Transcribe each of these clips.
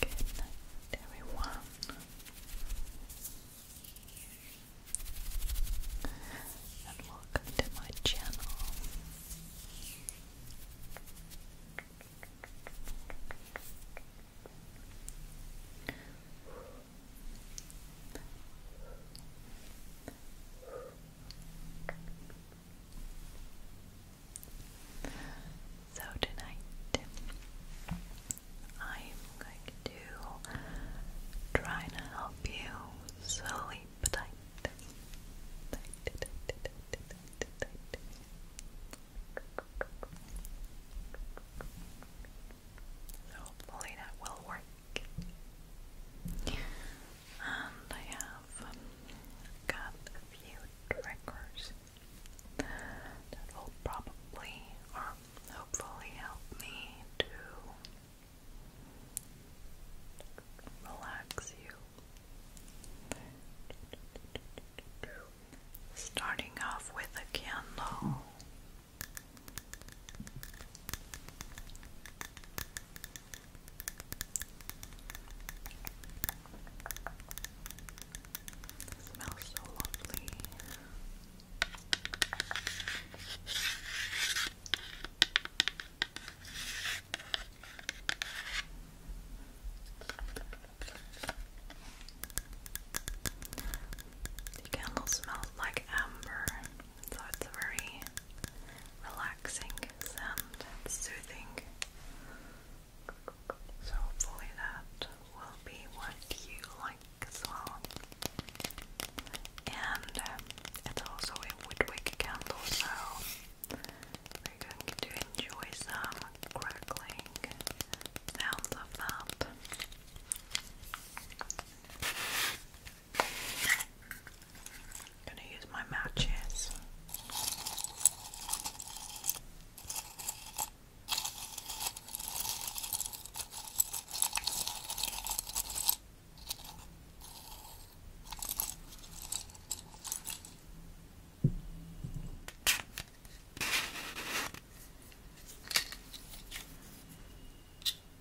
Good night, everyone. And welcome to my channel. So tonight I'm going to try to help you sleep hopefully that will work. And I have got a few triggers that will probably or um, hopefully help me to relax you. Starting off with a candle. It smells so lovely. The candle smells like amber so it's a very relaxing and soothing. So, hopefully, that will be what you like as well. And um, also a woodwick candle, so we're to enjoy some crackling sounds of that. I'm gonna use my matches.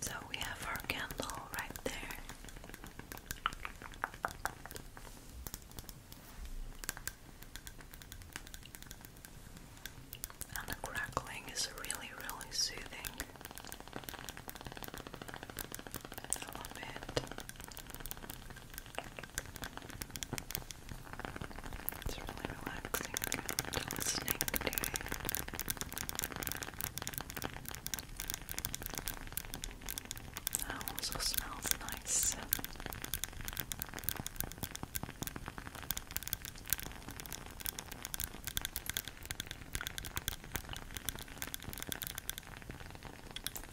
So we have our candle right there. And the crackling is really, really soothing. I love it. It's really relaxing to listening to it. That also smells nice.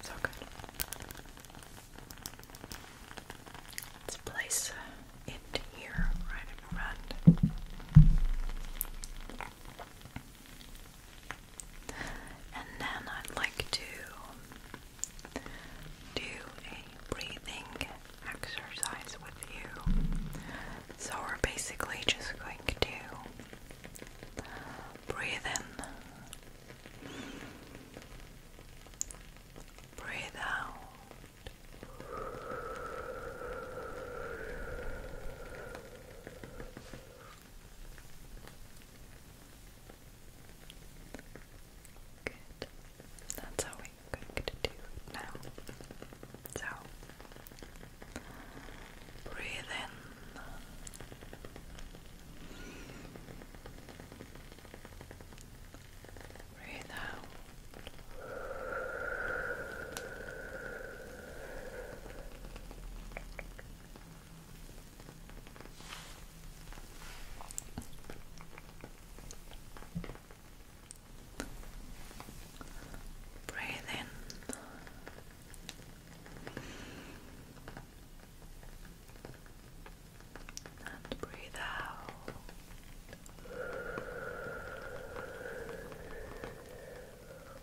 So good. Let's place it here right in front. And then I'd like to do a breathing exercise with you. So we're basically just going to breathe in, breathe out. Good. That's how we're going to do it now. So, breathe in. Breathe out. Breathe in. And breathe out.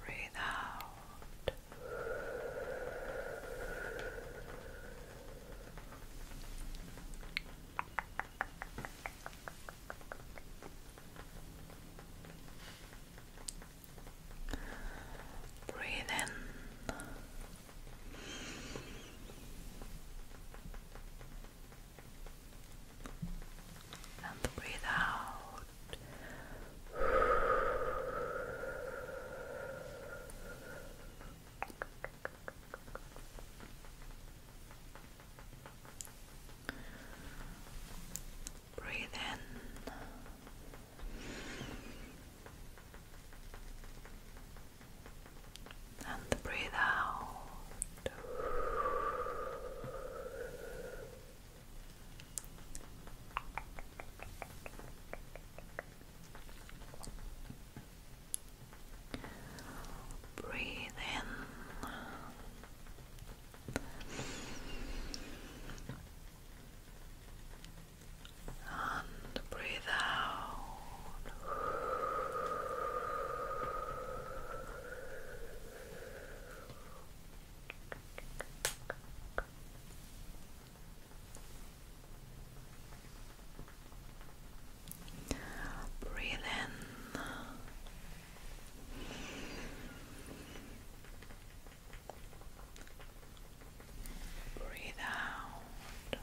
Breathe out. Breathe in and breathe out. Breathe in and breathe out. Breathe in and breathe out. Breathe in. Breathe out then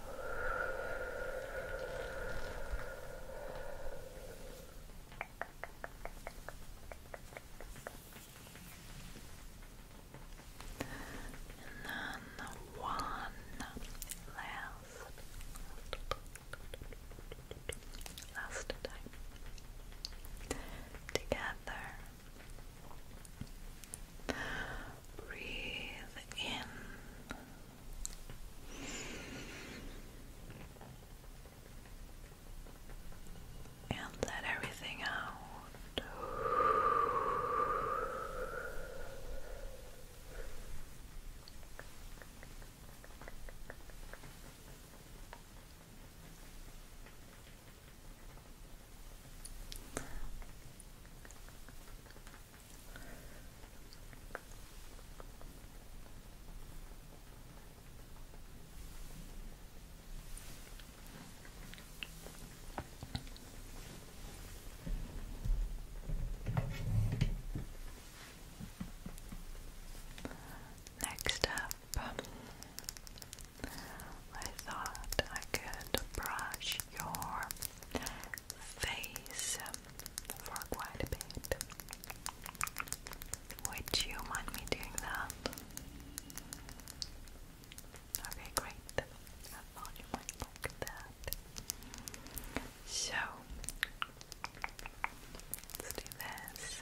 one last last time together breathe in. And let everything out. Next up, I thought I could brush your face for quite a bit. Would you mind me doing that? Okay, great. I thought you might like that. So, let's do this.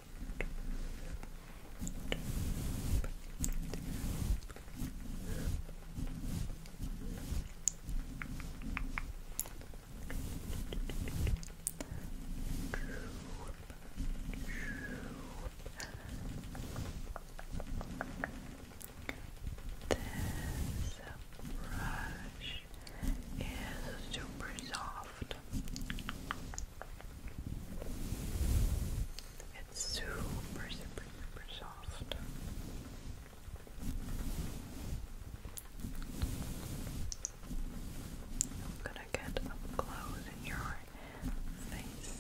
brush is super soft. It's super, super, super soft. I'm gonna get close in your face.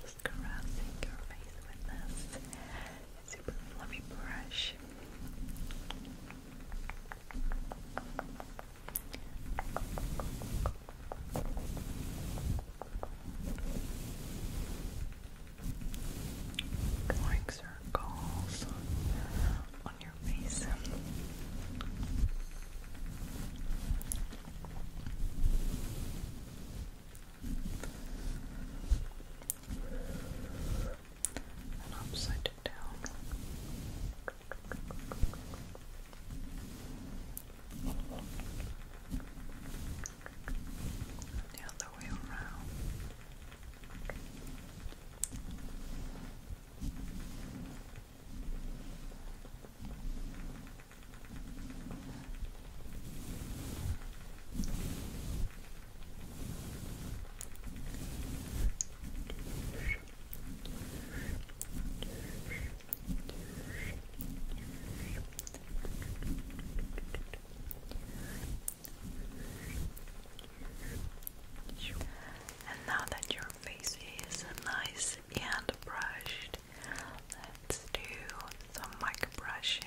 Just caressing your face with this super fluffy brush. Going circles on your face. And upside down. The other way around. And now that your face is nice and brushed, let's do some mic brushing.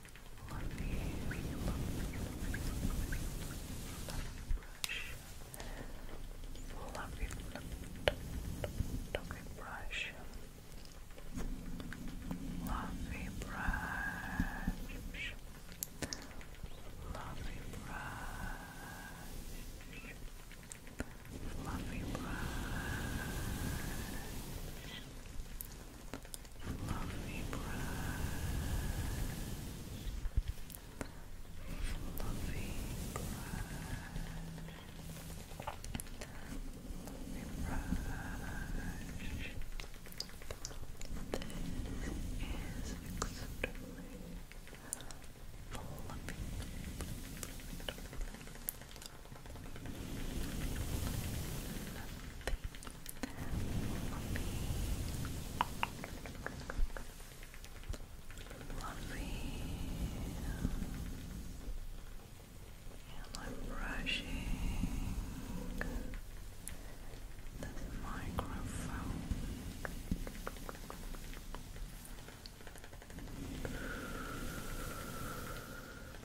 fluffy, fluffy, fluffy, fluffy, fluffy brush, fluffy brush, fluffy brush. Fluffy brush, fluffy brush, fluffy brush, This is extremely fluffy. Nothing Lovely. And I'm brushing this microphone.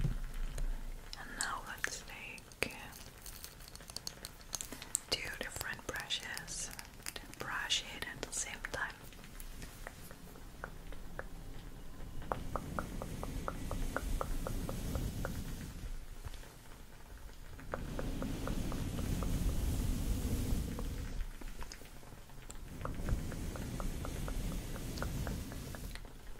And now let's take two different brushes and brush it at the same time.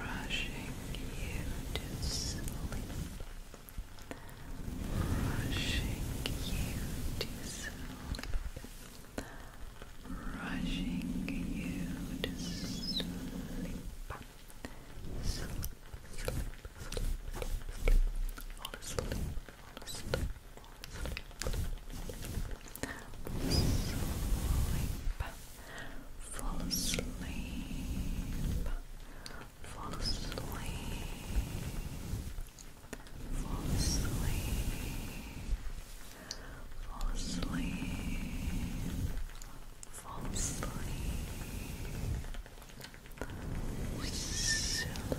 rushing you to sleep, rushing you to sleep, rushing you to sleep, Fall asleep. Fall asleep. Fall asleep. Fall asleep. Fall asleep. Sleep. Sleep.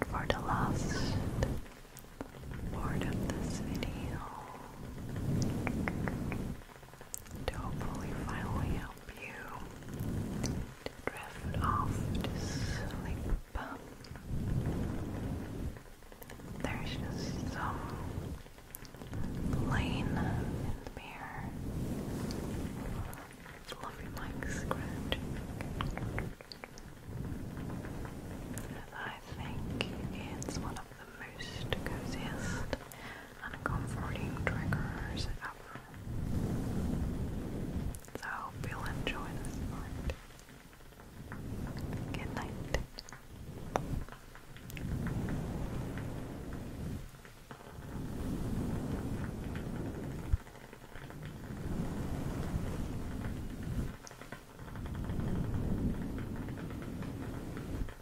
And for the last part of this video, to hopefully finally help you drift off to sleep. There's just some lane in the mirror. Lovely scratch. I think it's one of the most coziest uncomforting triggers ever. So I hope you'll enjoy this part. Good night.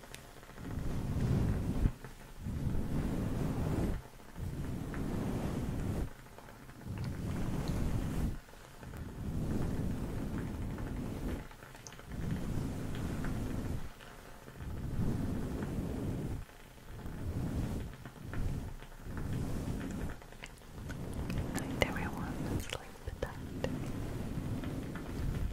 Good night, everyone. Sleep tight.